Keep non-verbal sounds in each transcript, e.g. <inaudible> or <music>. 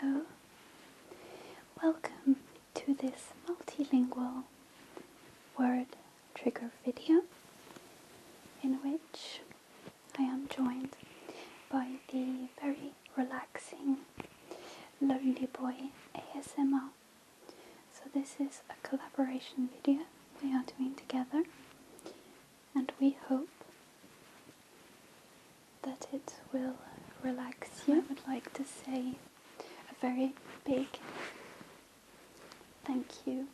Hello, welcome to this multilingual word trigger video in which I am joined by the very relaxing Lonely Boy ASMR so this is a collaboration video we are doing together and we hope that it will relax you. I would like to say a very big thank you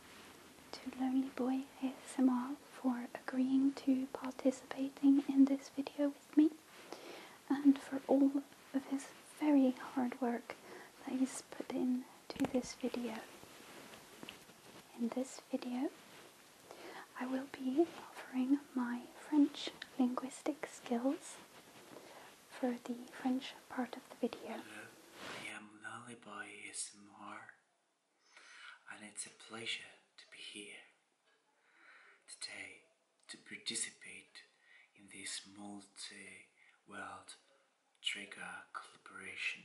to Lonely Boy ASMR for agreeing to participating in this video with me and for all of his very hard work that is put in to this video. In this video, I will be offering my French linguistic skills for the French part of the video. Hello, I am Lullaby ASMR and it's a pleasure to be here today to participate in this multi-world trigger collaboration.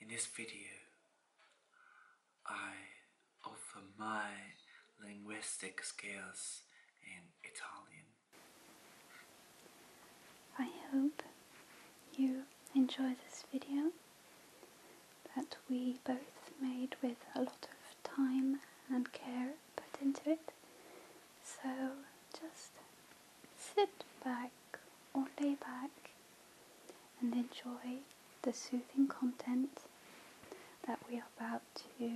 In this video, I offer my linguistic skills in Italian. I hope you enjoy this video that we both made with a lot of time and care put into it so just sit back or lay back and enjoy the soothing content that we are about to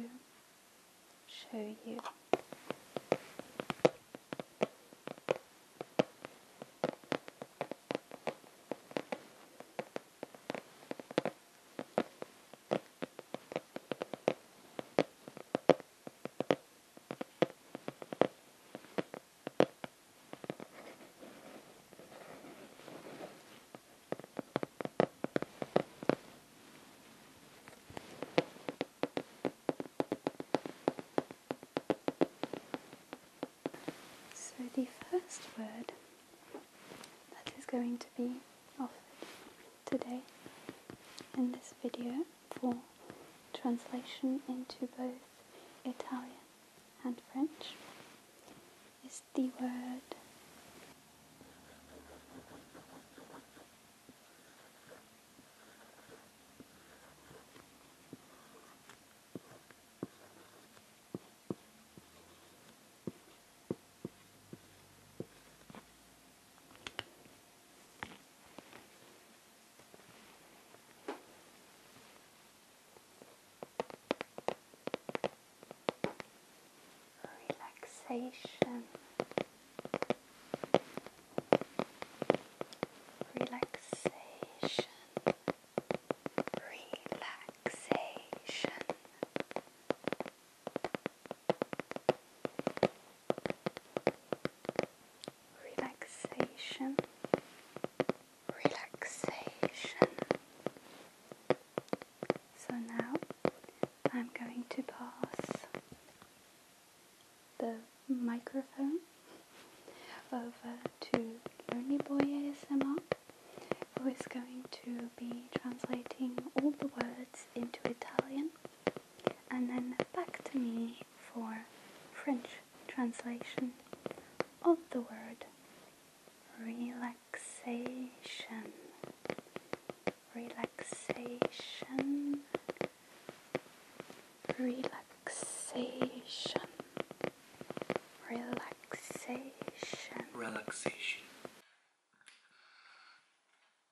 show you. So the first word that is going to be of today in this video for translation into both Italian and French is the word Relaxation, relaxation, relaxation, relaxation, relaxation. So now I'm going to pass the microphone over to Lonely Boy ASMR, who is going to be translating all the words into Italian and then back to me for French translation of the word relaxation. Relaxation. Relaxation. Relaxation. Relaxation.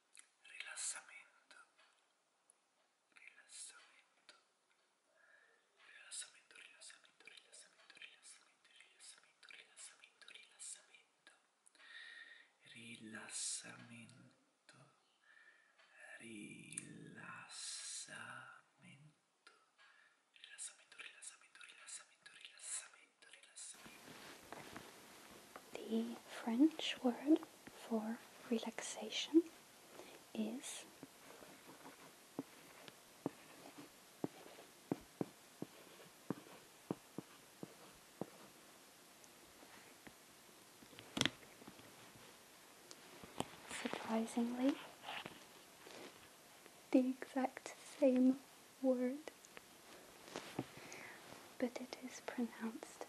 rilassamento, rilassamento, rilassamento, rilassamento, rilassamento, rilassamento, rilassamento, rilassamento, rilassamento, rilassamento. Rilassamento, rilassamento, rilassamento, rilassamento, rilassamento. The French word for relaxation is surprisingly the exact same word, but it is pronounced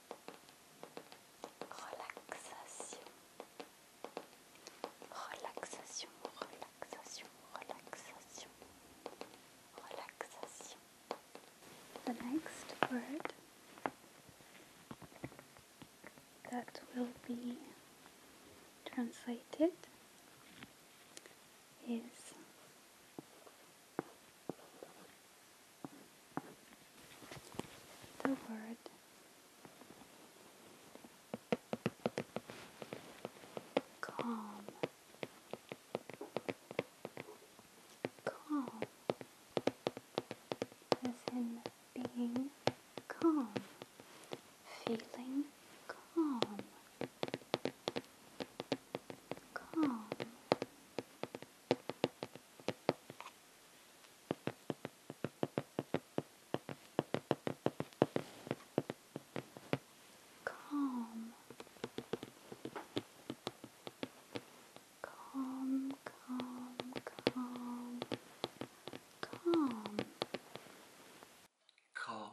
relaxation, relaxation, relaxation, relaxation, relaxation. The next word that will be translated is the word calm calm as being calm feeling calm calm Come. Come, come, come, come. calm.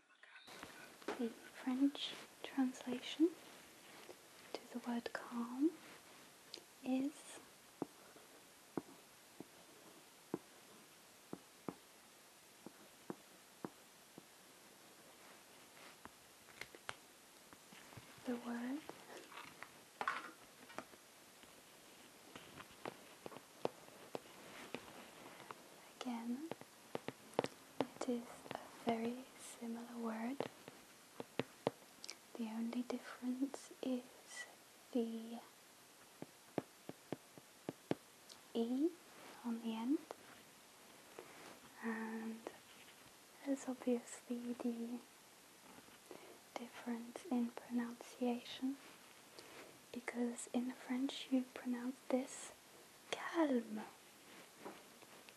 the French translation to the word calm is the word again it is a very similar word. The only difference is the E on the end, and there's obviously the difference in pronunciation because in French you pronounce this calme,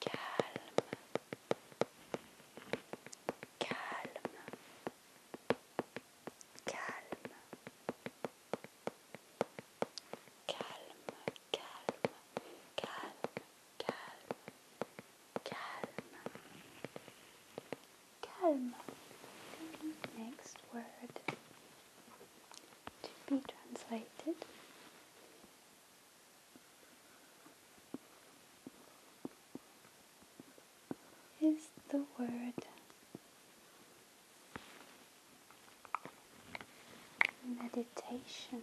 calme, calme, calme, calme, calme, calme, calme, calme, calme. The next word to be translated is the word meditation.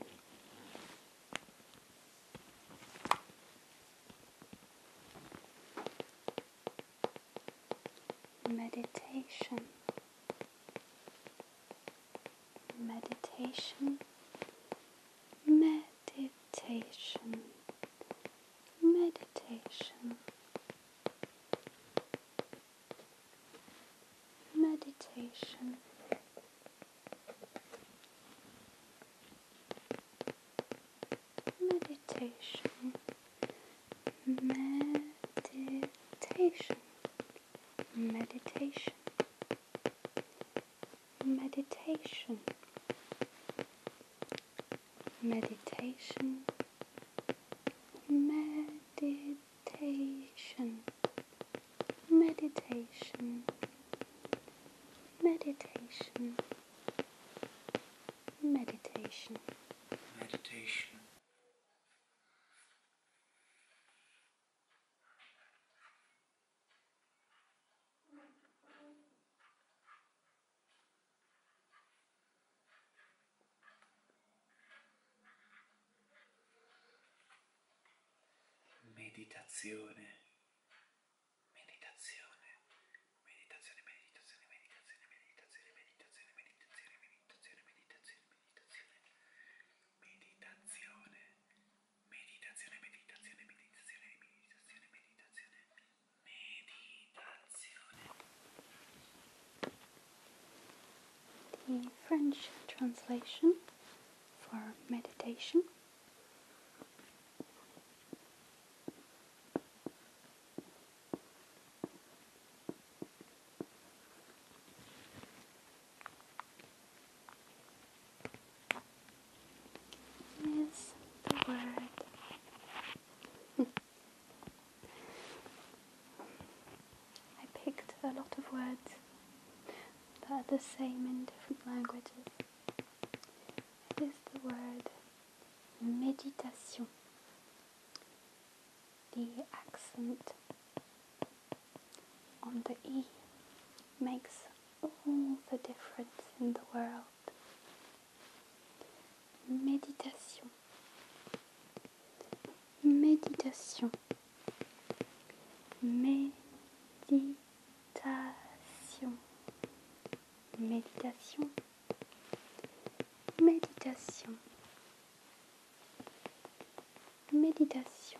Meditation meditation, meditation, meditation, meditation. Meditation, meditation, meditation, meditation. Meditation. Meditation. Meditation. Meditation. Meditation. Meditation. meditazione, meditazione, meditazione, meditazione, meditazione, meditazione, meditazione, meditazione, meditazione, meditazione, meditazione, meditazione, The French translation for meditation is the word. I picked a lot of words that are the same in different languages. It is the word meditation. The accent on the E makes all the difference in the world. Méditation. Méditation. Méditation. Méditation. Méditation. Méditation.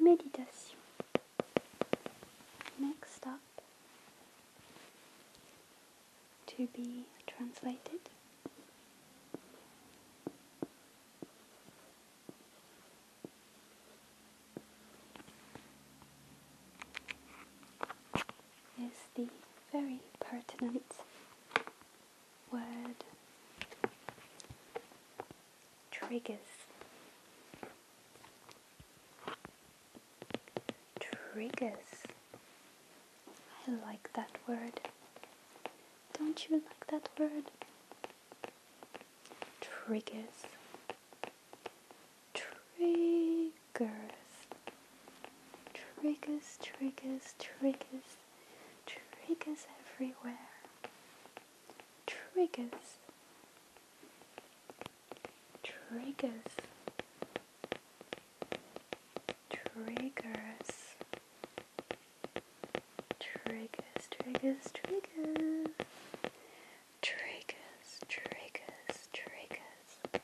Méditation. Next up to be translated. Is the very pertinent word triggers. Triggers. I like that word. Don't you like that word? Triggers. Triggers. Triggers, triggers, triggers, triggers everywhere triggers, triggers, triggers, triggers, triggers, triggers. Triggers, triggers, triggers,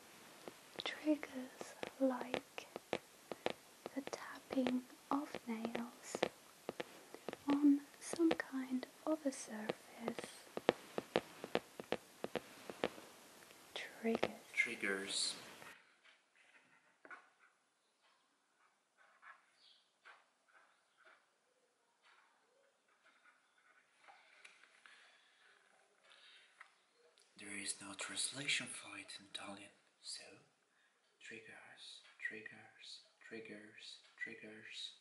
triggers like the tapping of nails on some kind of a surface triggers There is no translation for it in Italian, so triggers, triggers, triggers, triggers.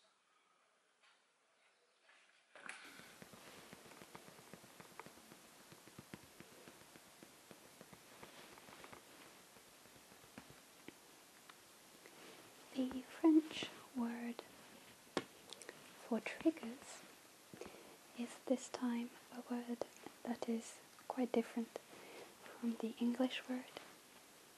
The French word for triggers is this time a word that is quite different from the English word.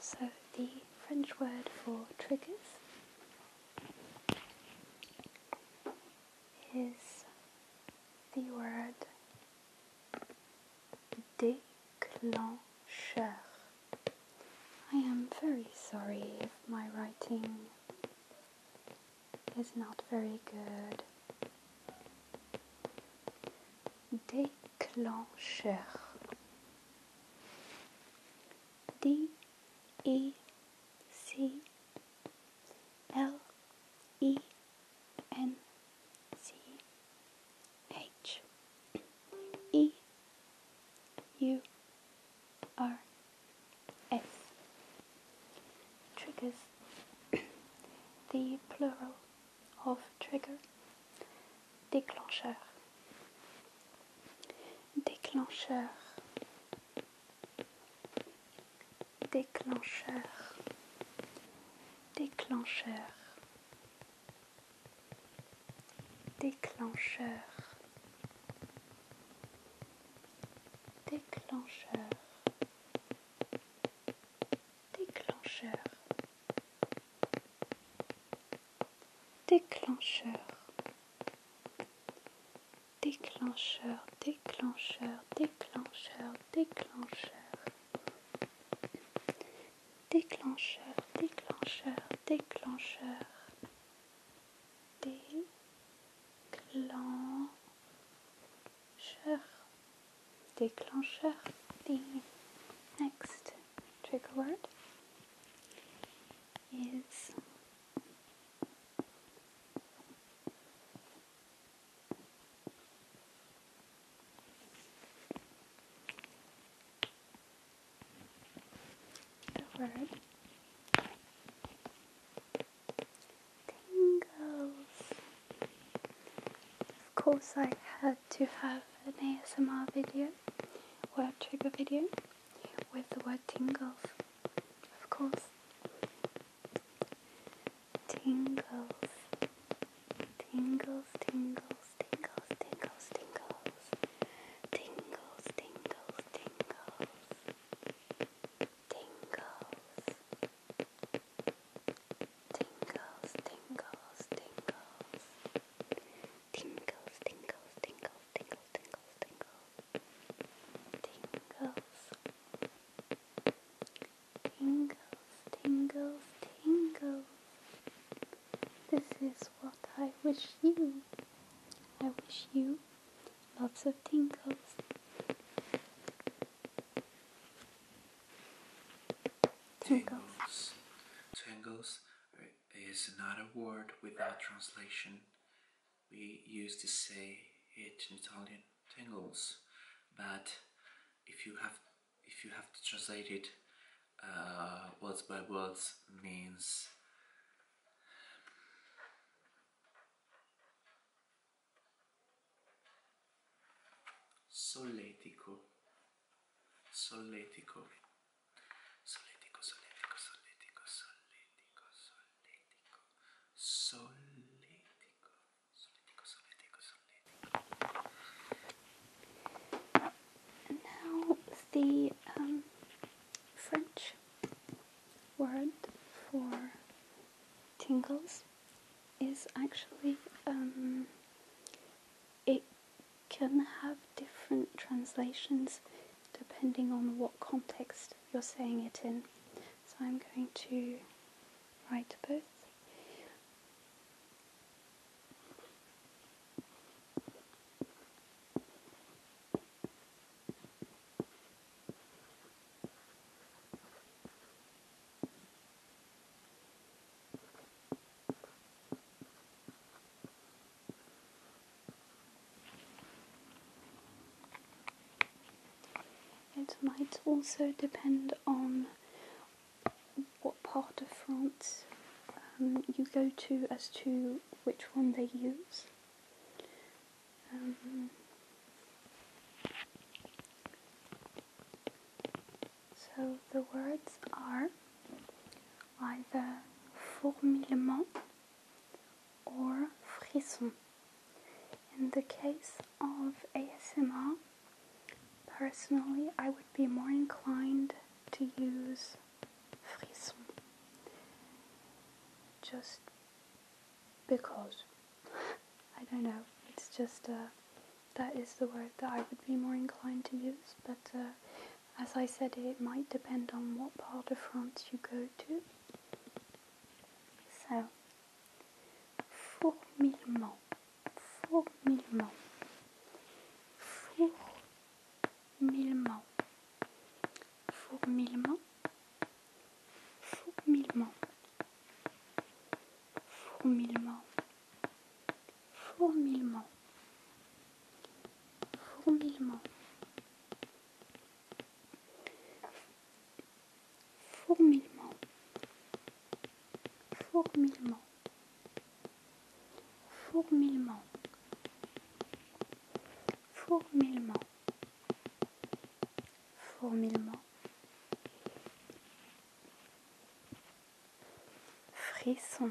So the French word for triggers is the word déclencheur. I am very sorry if my writing is not very good. Déclencheur déclencheur. D E C L E N C H E U R S triggers <coughs> the plural of trigger déclencheur, déclencheur, déclencheur, déclencheur, déclencheur, déclencheur, déclencheur déclencheur, déclencheur, déclencheur, déclencheur, déclencheur, déclencheur, déclencheur, déclencheur, déclencheur, déclencheur, next. trigger word is the Of course, I had to have an ASMR video word trigger video with the word tingles, of course. Tingles, tingles, tingles, tingles, tingles, tingles, tingles, tingles, tingles, tingles, tingles, tingles, tingles. Tingles, tingles, tingles, tingles, tingles, tingles. Tingles. Tingles, tingles, This is what I wish you. I wish you lots of tingles. Tingles. Tingles is not a word without translation. We used to say it in Italian, tingles, but if you have if you have to translate it uh, words by words means solletico, solletico. Now the um, French word for tingles is actually um, it can have different translations depending on what context you're saying it in. So I'm going to write both. It might also depend on what part of France um, you go to as to which one they use. Um, so the words are either fourmillement or frisson. In the case of ASMR, personally, I would be more inclined to use frisson just because <laughs> I don't know, it's just uh, that is the word that I would be more inclined to use, but uh, as I said, it might depend on what part of France you go to. So, fourmillement, fourmillement, fourmillement, fourmillement, fourmillement, fourmillement, fourmillement. fourmillement, fourmillement, fourmillement, fourmillement, fourmillement, fourmillement, frisson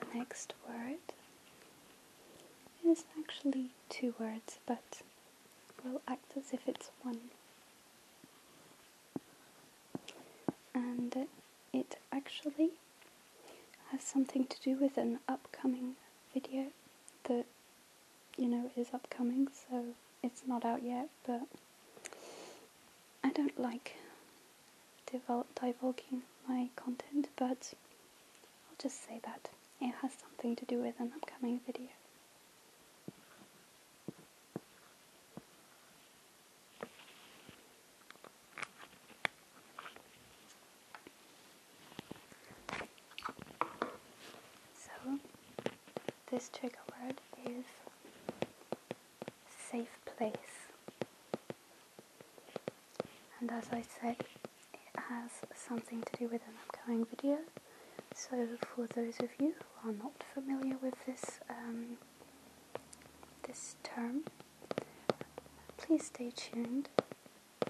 The next word is actually two words, but will act as if it's one. And it actually has something to do with an upcoming video that you know is upcoming, so it's not out yet, but I don't like divulging my content, but I'll just say that it has something to do with an upcoming video. So, this trigger word is safe place and as I say it has something to do with an upcoming video so for those of you who are not familiar with this um, this term please stay tuned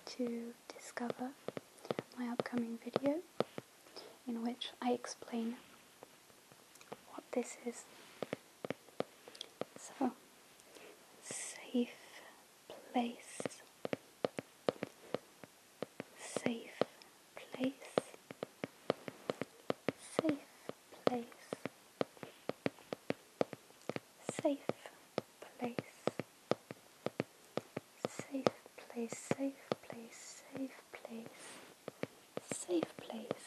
to discover my upcoming video in which I explain what this is so, safe place, safe place, safe place, safe place, safe place, safe place, safe place, safe place.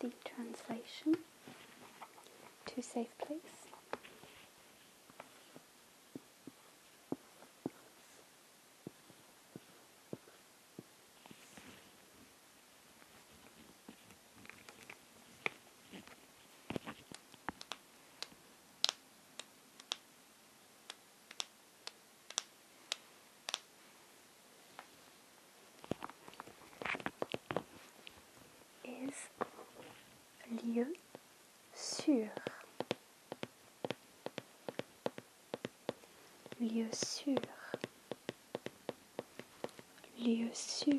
The translation to safe place. Is lieu sûr. Lieu sûr. Lieu sûr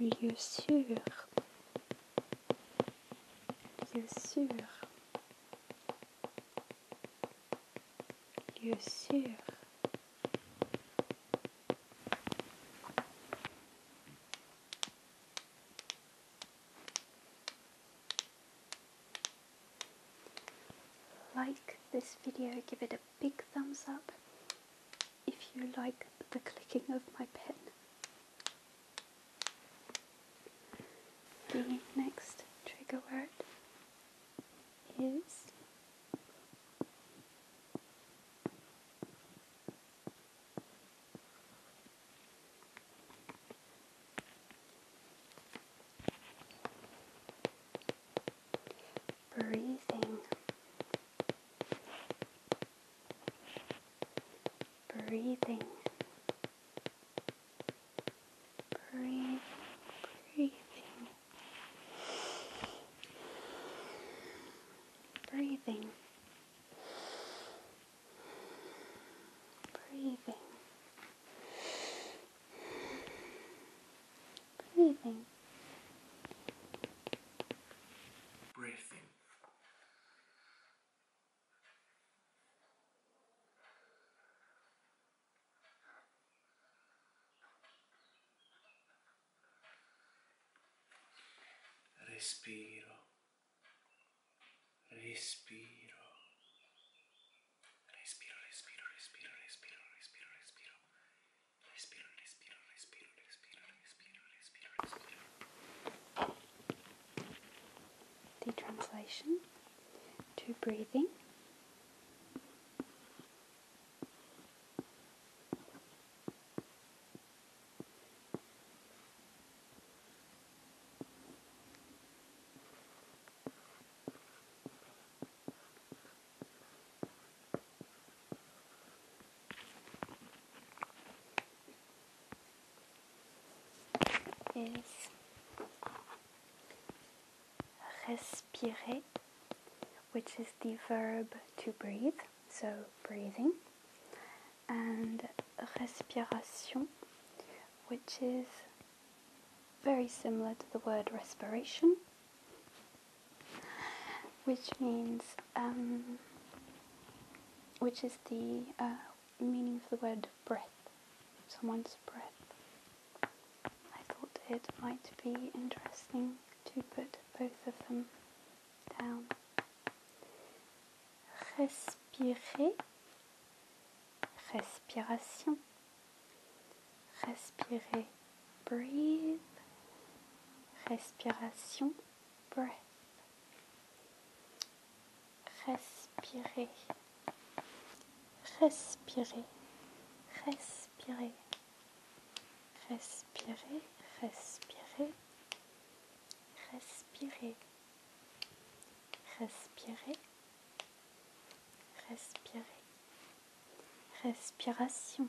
Lieu sûr. Lieu sûr. Lieu sûr. Like this video, give it a big thumbs up if you like the clicking of my pen. The next trigger word is breathing breathing, breathing, breathing, breathing, breathing, breathing, breathing. respiro, respiro, respiro, respiro, respiro, respiro, respiro, respiro, The translation to breathing is respirer, which is the verb to breathe, so breathing, and respiration, which is very similar to the word respiration, which means um, which is the uh, meaning of the word breath, someone's breath. I thought it might be interesting to put both of them down. Respirer, respiration, respirer, breathe, respiration, Respirer, Respirez, respirez, respirez, respirez, respirez, respirez, respirez, respirez, respiration,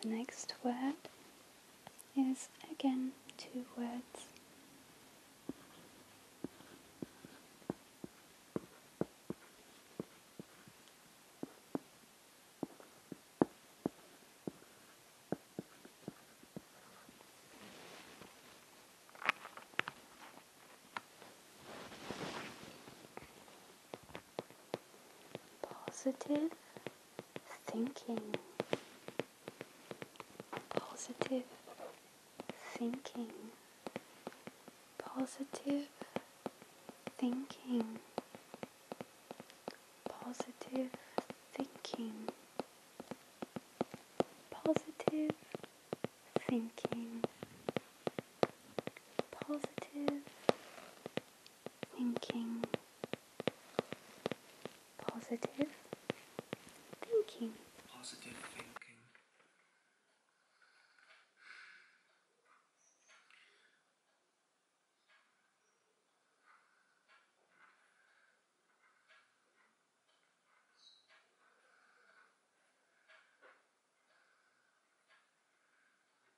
The next word is again two words positive thinking, positive thinking, positive thinking, positive thinking, positive thinking, positive thinking, positive thinking. Positive thinking.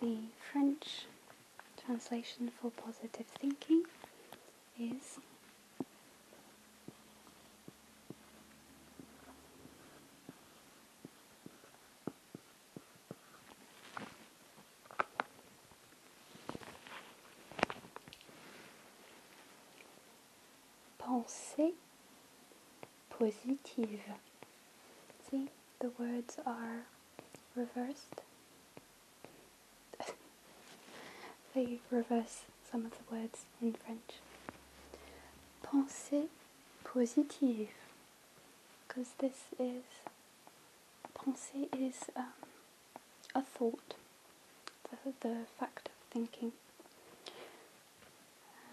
The French translation for positive thinking is pensée positive. See, the words are reversed. <laughs> they reverse some of the words in French. Pensée positive, because this is pensée is um, a thought, the fact of thinking.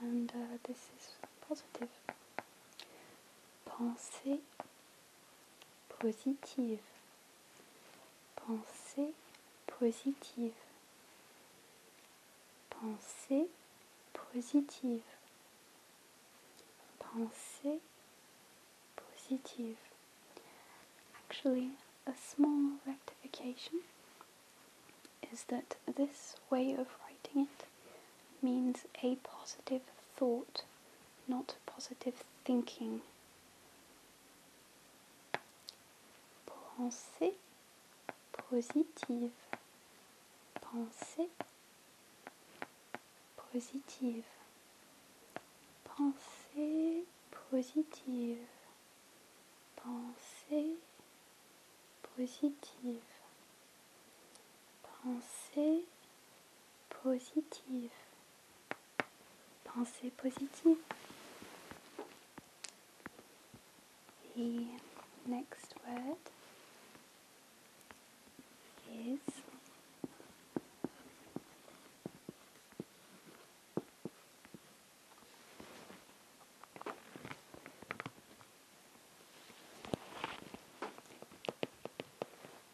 And uh, this is positive. Pensée positive. Pensée positive. Pensée positive. Pensée positive. Actually, A small rectification is that this way of writing it means a positive thought, not positive thinking. Pensée positive. Pensée positive. Pensée positive. Pensée positive. Pensée positive. Pensée positive. The next word is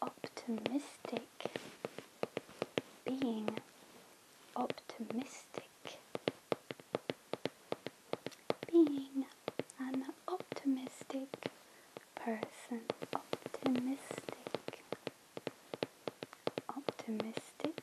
Optimistic. Being optimistic. Being an optimistic person. Optimistic. Optimistic.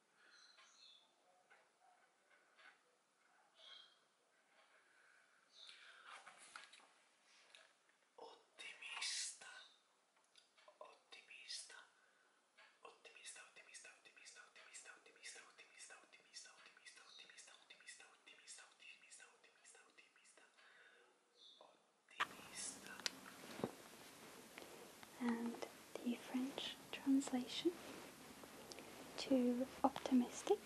Optimist, ottimista, ottimista, ottimista, ottimista, ottimista, ottimista, ottimista, ottimista, ottimista, ottimista, ottimista, ottimista, ottimista, And the French translation to optimistic,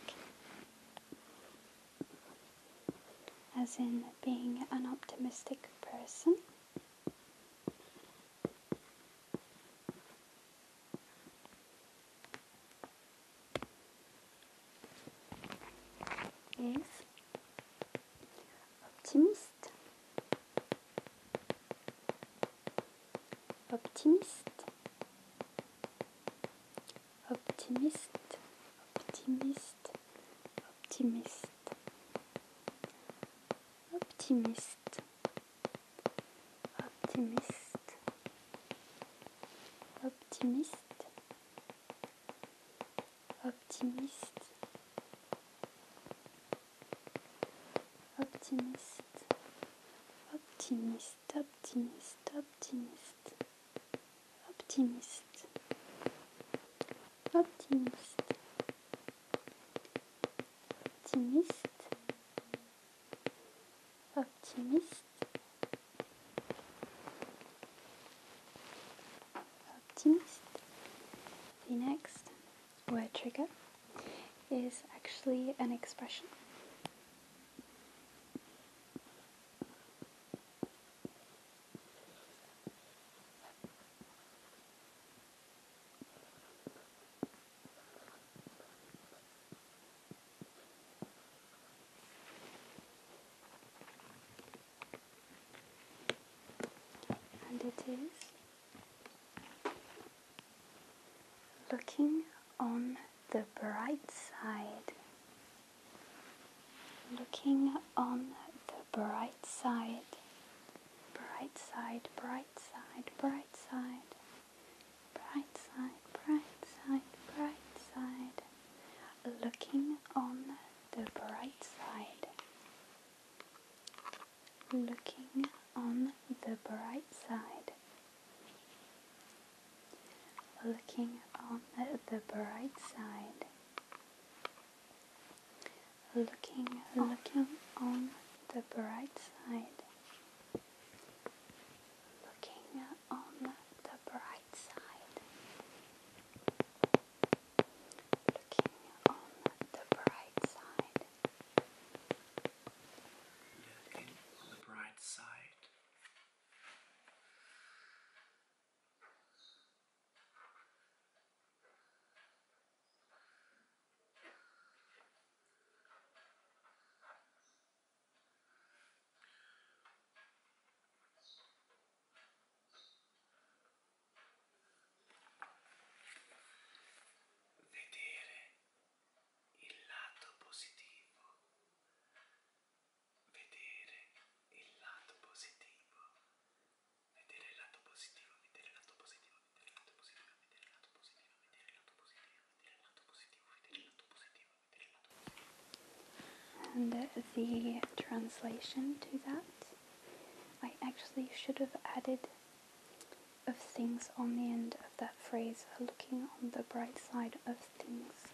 as in being an optimistic person. is optimist Optimiste. Optimiste. Optimiste. Optimiste. Optimiste. Optimiste. Optimiste. Optimiste. Optimist, optimist, optimist, optimist, optimist, optimist, optimist, optimist, optimist. next word trigger is actually an expression. And it is Looking on the bright side. Looking on the bright side. Bright side, bright side, bright side. Bright side, bright side, bright side. Looking on the bright side looking on the bright side. Looking on the bright side. Looking, looking on the bright side. Looking on the bright side. Looking on the bright side looking on the bright side. Vedere and the translation to that, I actually should have added of things on the end of that phrase are looking on the bright side of things.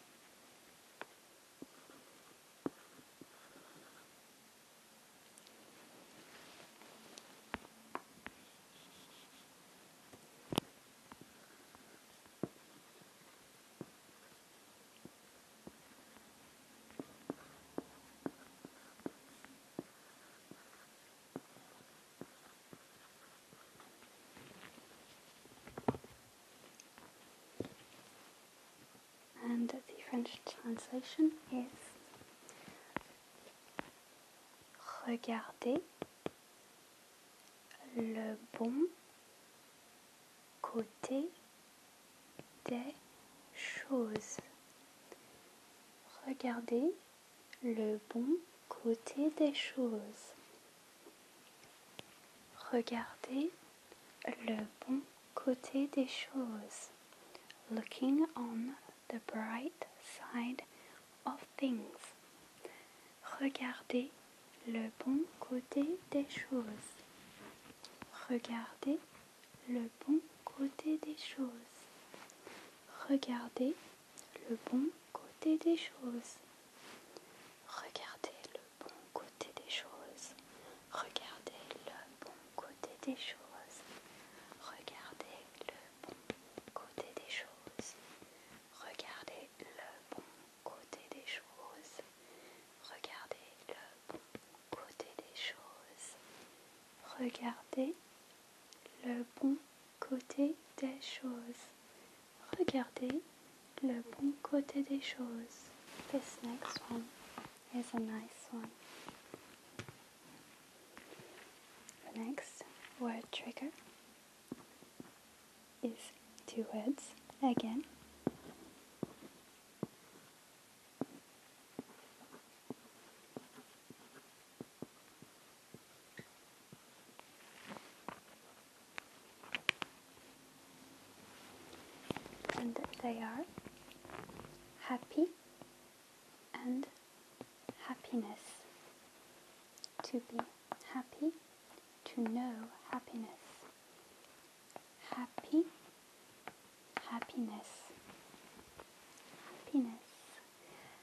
And the French translation is Regardez le bon côté des choses. Regardez le bon côté des choses. Regardez le bon côté des choses. Looking on the bright side of things. Regardez le bon côté des choses. Regardez le bon côté des choses. Regardez le bon côté des choses. Regardez le bon côté des choses. Regardez le bon côté des choses. Regardez le bon côté des choses. Regardez le bon côté des choses. Regardez le bon côté des choses. Regardez le bon côté des choses. Regardez le bon côté des choses. This next one is a nice one. The next word trigger is two words again. and they are happy and happiness. To be happy, to know happiness. Happy, happiness. Happiness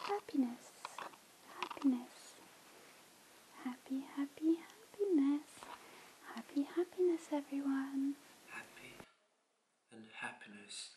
happiness, happiness, happy, happy, happiness, happy, happiness, everyone. Happy and happiness.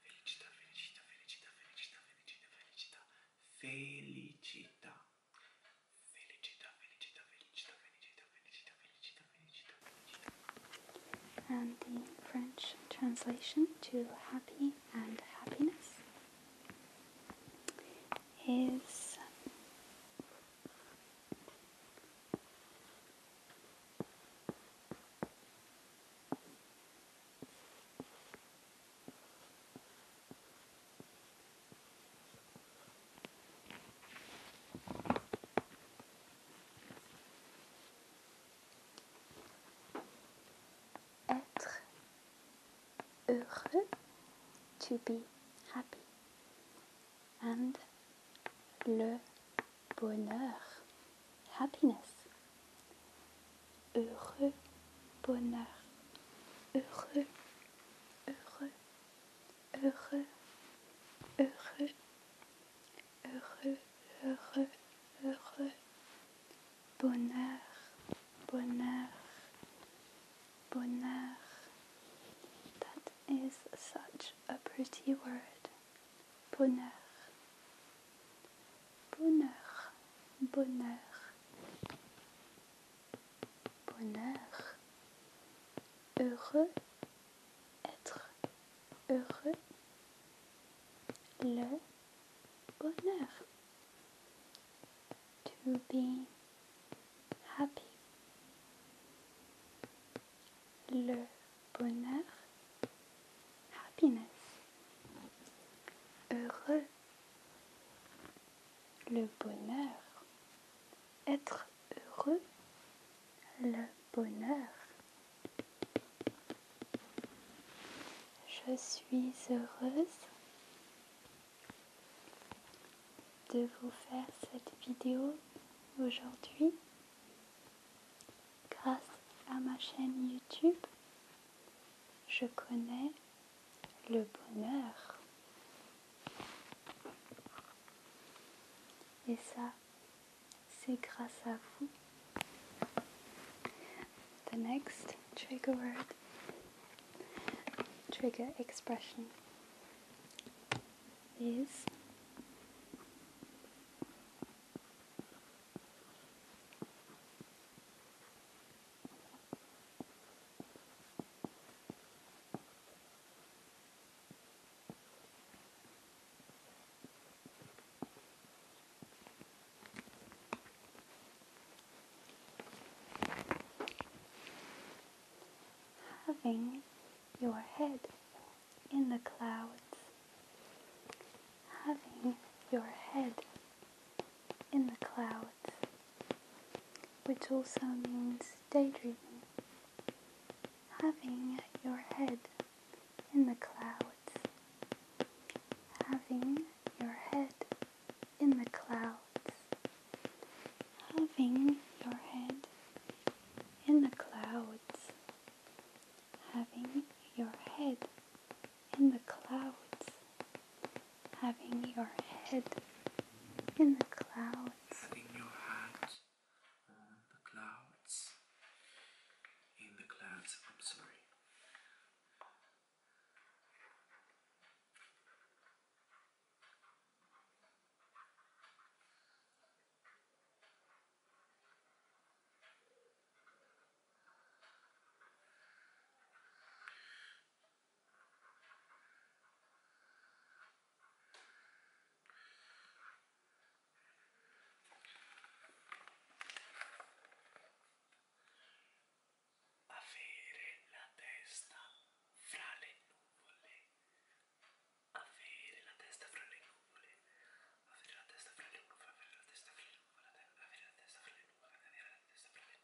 Felicità, felicità, felicità, felicità, felicità, felicità, felicità. Felicità, felicità, felicità, felicità, felicità, felicità, And the French translation to happy and happiness is Être heureux, to be happy. And le bonheur, happiness. Heureux bonheur. Heureux, heureux, heureux, heureux, heureux, heureux, heureux. Bonheur, bonheur, bonheur. That is such a pretty word. Bonheur. Bonheur, bonheur, bonheur. Heureux, être heureux. Le bonheur. To be happy. Le bonheur. Happiness. Heureux le bonheur, être heureux, le bonheur. Je suis heureuse de vous faire cette vidéo aujourd'hui grâce à ma chaîne YouTube je connais le bonheur. Et ça, c'est grâce à vous. The next trigger word, trigger expression is Having your head in the clouds, having your head in the clouds, which also means daydreaming, having your head in the clouds, having your head in the clouds, having your head in the clouds, having your head in the clouds, having your head in the clouds, having your hands on the clouds, in the clouds. I'm sorry. Avere la testa fra le nuvole, avere la testa fra le nuvole, avere la testa fra le nuvole, avere la testa fra le nuvole, avere la testa fra le nuvole, avere la testa fra le nuvole.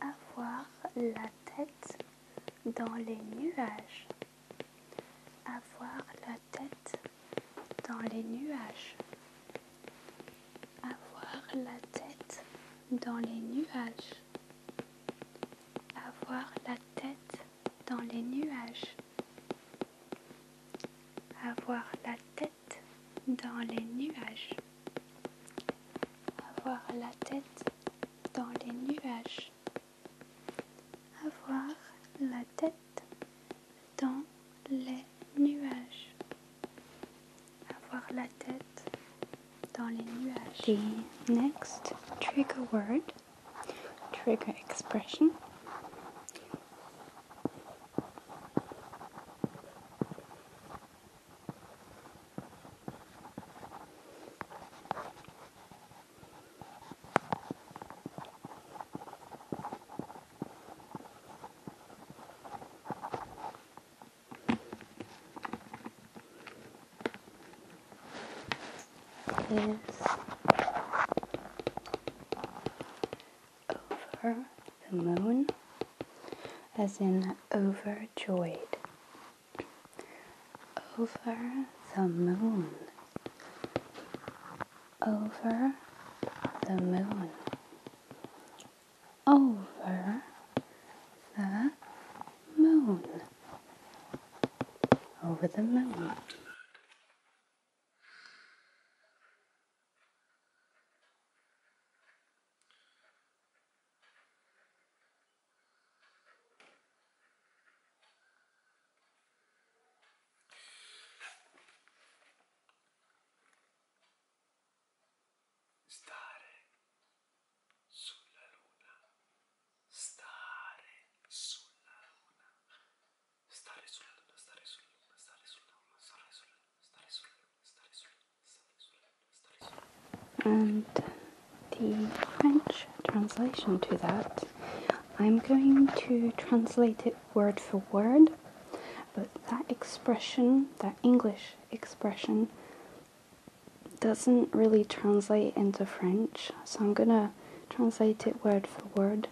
Avoir la tête dans les nuages. Avoir la tête dans les nuages. Avoir la tête dans les nuages. Avoir la tête dans les nuages. Avoir la tête dans les nuages. Avoir la tête dans les nuages. Avoir la tête dans les nuages avoir la tête dans les nuages. next trigger word, trigger expression is over the moon, as in overjoyed. Over the moon. Over the moon over the moon. Over the moon. And the French translation to that, I'm going to translate it word for word, but that expression, that English expression, doesn't really translate into French, so I'm gonna translate it word for word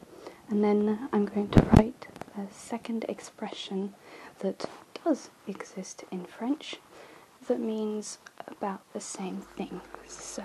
and then I'm going to write a second expression that does exist in French that means about the same thing. So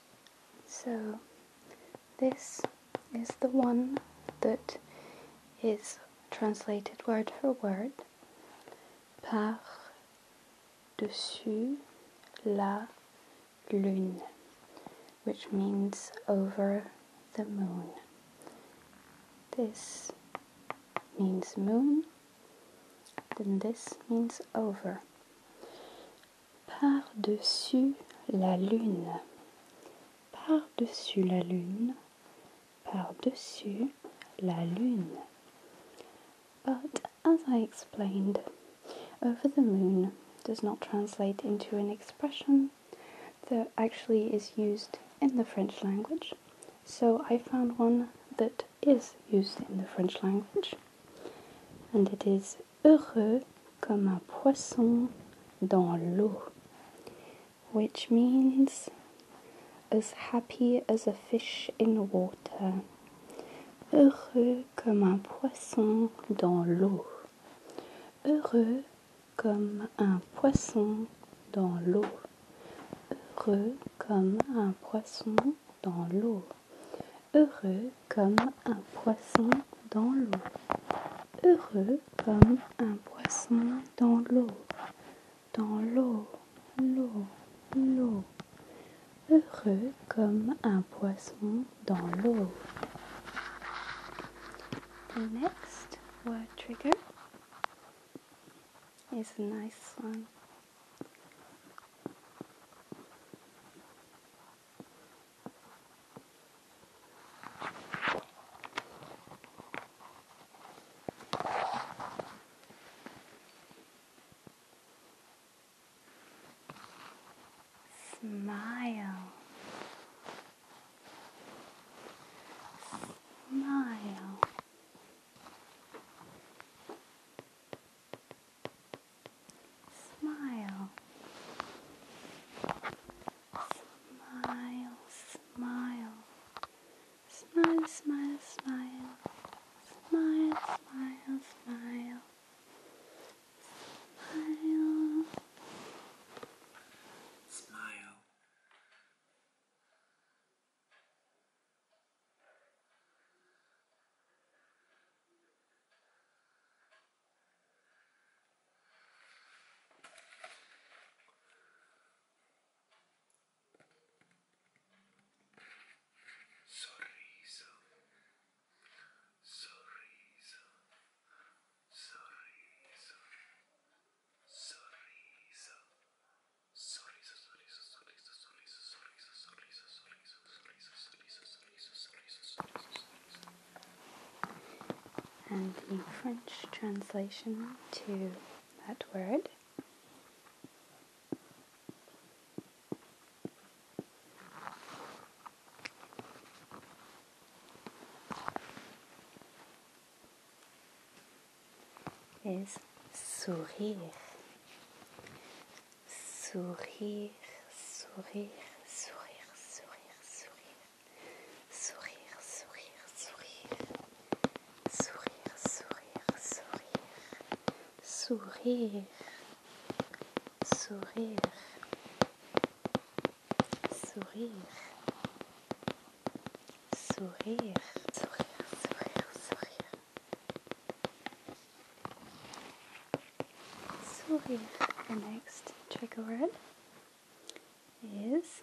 So this is the one that is translated word for word par dessus la lune, which means over the moon. This means moon, then this means over par-dessus la lune, par-dessus la lune, par-dessus la lune. But as I explained, over the moon does not translate into an expression that actually is used in the French language, so I found one that is used in the French language, and it is heureux comme un poisson dans l'eau. Which means as happy as a fish in water. Heureux comme un poisson dans l'eau. Heureux comme un poisson dans l'eau. Heureux comme un poisson dans l'eau. Heureux comme un poisson dans l'eau. Heureux comme un poisson dans l'eau. Dans l'eau, l'eau, l'eau. Heureux comme un poisson dans l'eau. The next word trigger is a nice one. Smile. Smile. Smile. Smile, smile. Smile, smile, smile. Smile, smile, smile. Smile. Smile. Sorriso, sorriso, sorriso, sorriso, sorriso, sorriso, sorriso, sorriso, sorriso, sorriso, sorriso, sorriso, sorriso, sorriso. And the French translation to that word is sourire. sourire, sourire, sourire, sourire, sourire, sourire, sourire, sourire, sourire, sourire, sourire, sourire, sourire, sourire, sourire, sourire, sourire, sourire. So here, the next trigger word is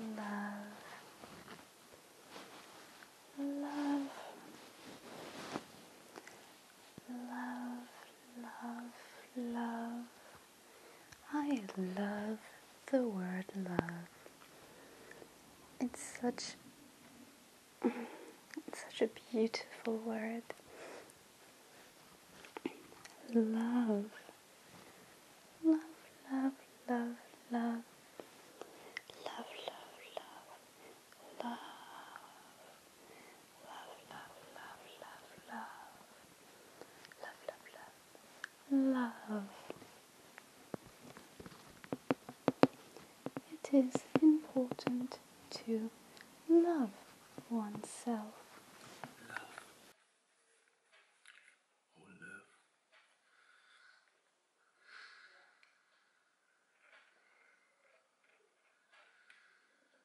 love. Love love, love, love. I love the word love. It's such it's such a beautiful word. Love. Love, love, love, love. Love, love, love love, love, love, love, love, love, love, love, love, love. It is important to love oneself. Love. Oh, love.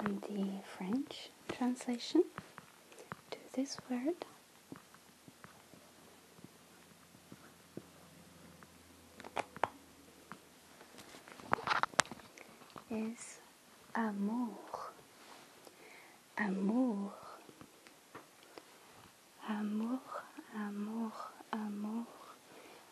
And the French translation to this word is amour. Amour. Amour, amour, amour.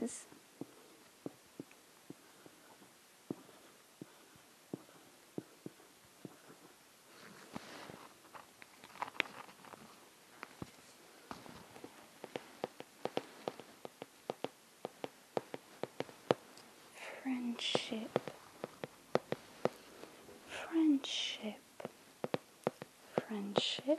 is friendship friendship friendship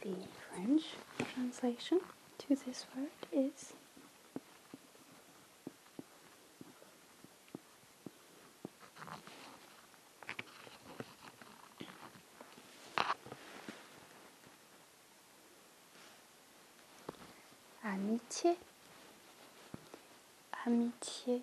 The French translation to this word is amitié, amitié,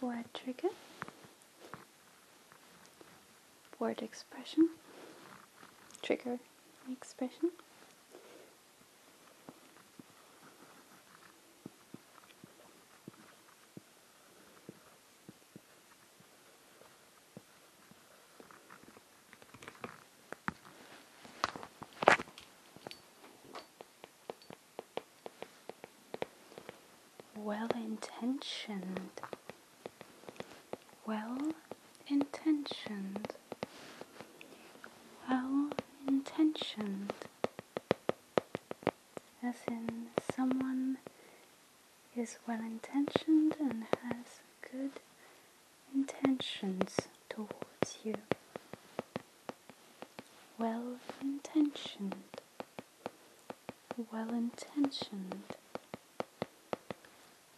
word trigger, word expression, trigger expression well intentioned, well intentioned, well intentioned, as in someone is well intentioned and has good intentions towards you well intentioned, well intentioned,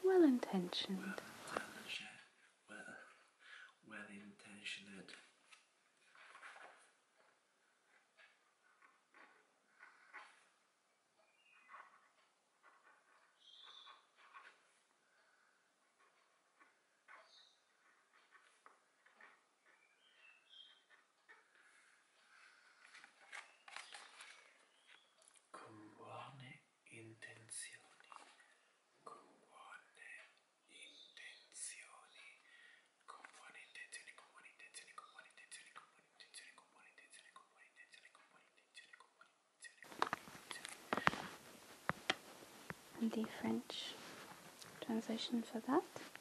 well intentioned, well, intentioned. Con buone intenzioni, con buone intenzioni, con buone intenzioni, con buone intenzioni, con buone intenzioni, con buone intenzioni, con buone intenzioni, con buone intenzioni, con buone intenzioni, con buone intenzioni, con buone intenzioni. The French translation for that.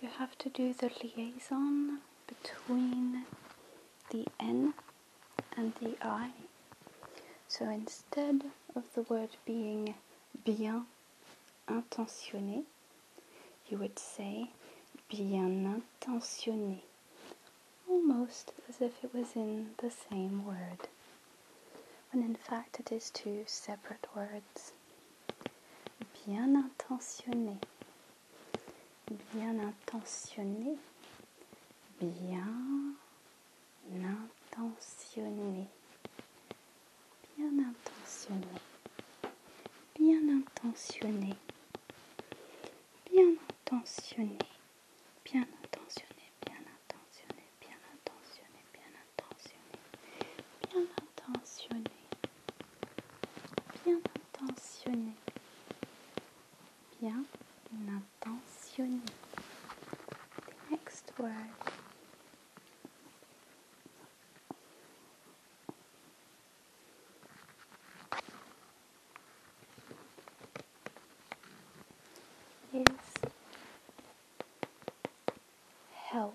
You have to do the liaison between the N and the I. So instead of the word being bien intentionné, you would say bien intentionné, almost as if it was in the same word, when in fact it is two separate words. bien intentionné, bien intentionné, bien intentionné, bien intentionné, bien intentionné, bien intentionné, bien intentionné, bien intentionné, bien intentionné, bien intentionné, bien intentionné intentionné, bien intentionné, bien intentionné. The next word. Is help.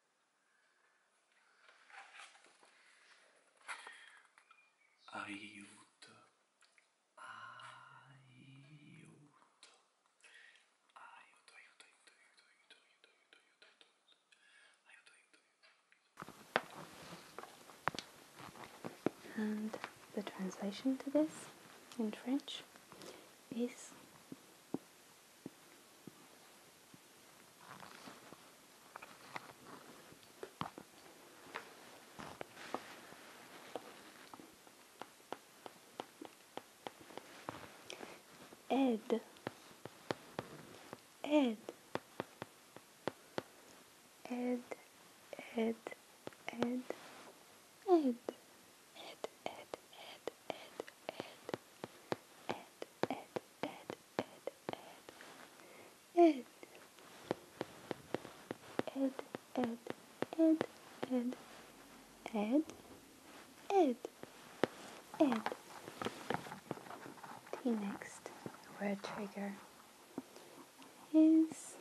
aiuto, aiuto, aiuto, aiuto, aiuto, aiuto, aiuto, aiuto, aiuto, aiuto, aiuto, aiuto, aiuto. And the translation to this in French is Ed Ed Ed Ed Ed Ed Ed Ed Ed Ed Ed Ed Ed Ed Ed, Ed, Ed, Ed, Ed, Ed, Ed, Ed. T next word trigger is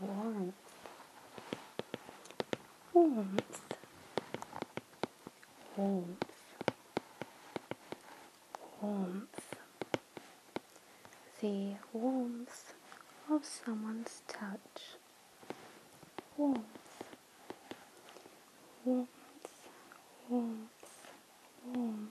Warmth. Warmth. Warmth. Warmth. The warmth of someone's touch. Warmth. Warmth. Warmth. Warmth.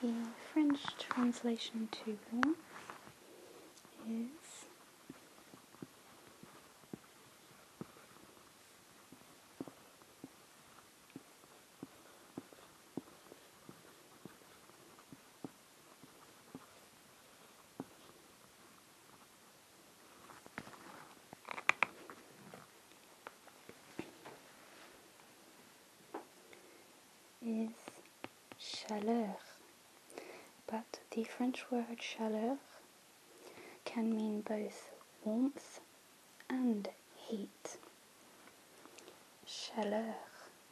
The French translation to warm is is chaleur. But the French word chaleur can mean both warmth and heat. Chaleur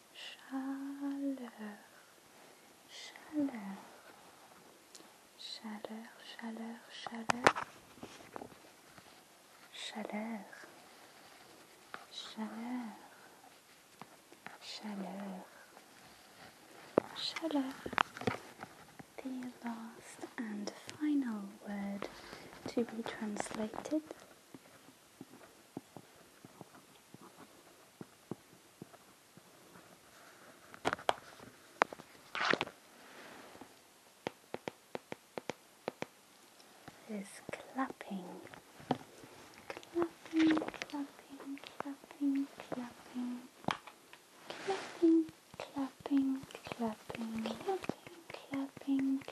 chaleur, chaleur, chaleur, chaleur, chaleur, chaleur, chaleur, The last and final word to be translated is clapping, clapping, clapping, clapping, clapping, clapping, clapping, clapping, clapping, clapping, clapping,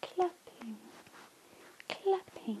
clapping, clapping,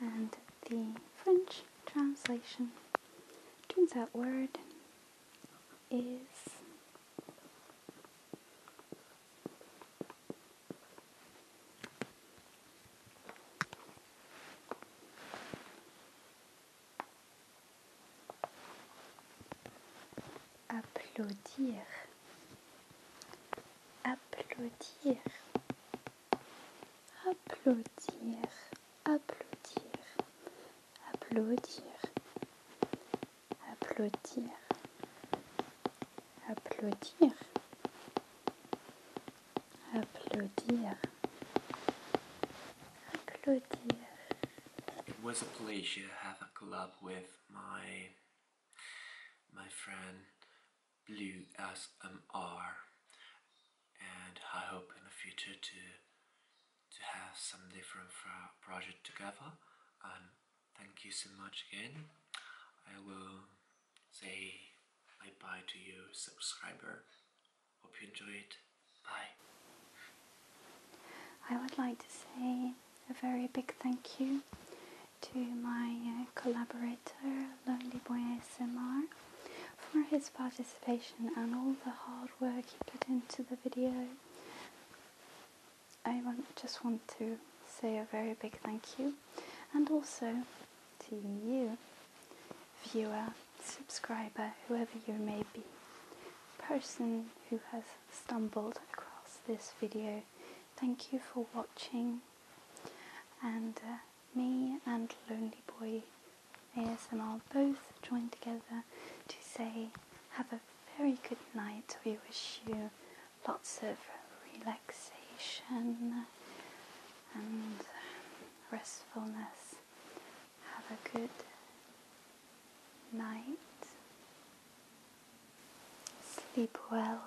And the French translation turns out word. applaudir applaudir applaudir applaudir applaudir Applaudir. Applaudir. Applaudir. Applaudir. It was a pleasure to have a club with my my friend Blue SMR and I hope in the future to to have some different project together and thank you so much again I will say bye bye to you subscriber hope you enjoy it bye I would like to say a very big thank you to my uh, collaborator Lonely Boy ASMR for his participation and all the hard work he put into the video I just want to say a very big thank you and also to you, viewer, subscriber, whoever you may be, person who has stumbled across this video. Thank you for watching and uh, me and Lonely Boy ASMR both join together to say have a very good night. We wish you lots of relaxation and restfulness. Have a good night. Sleep well.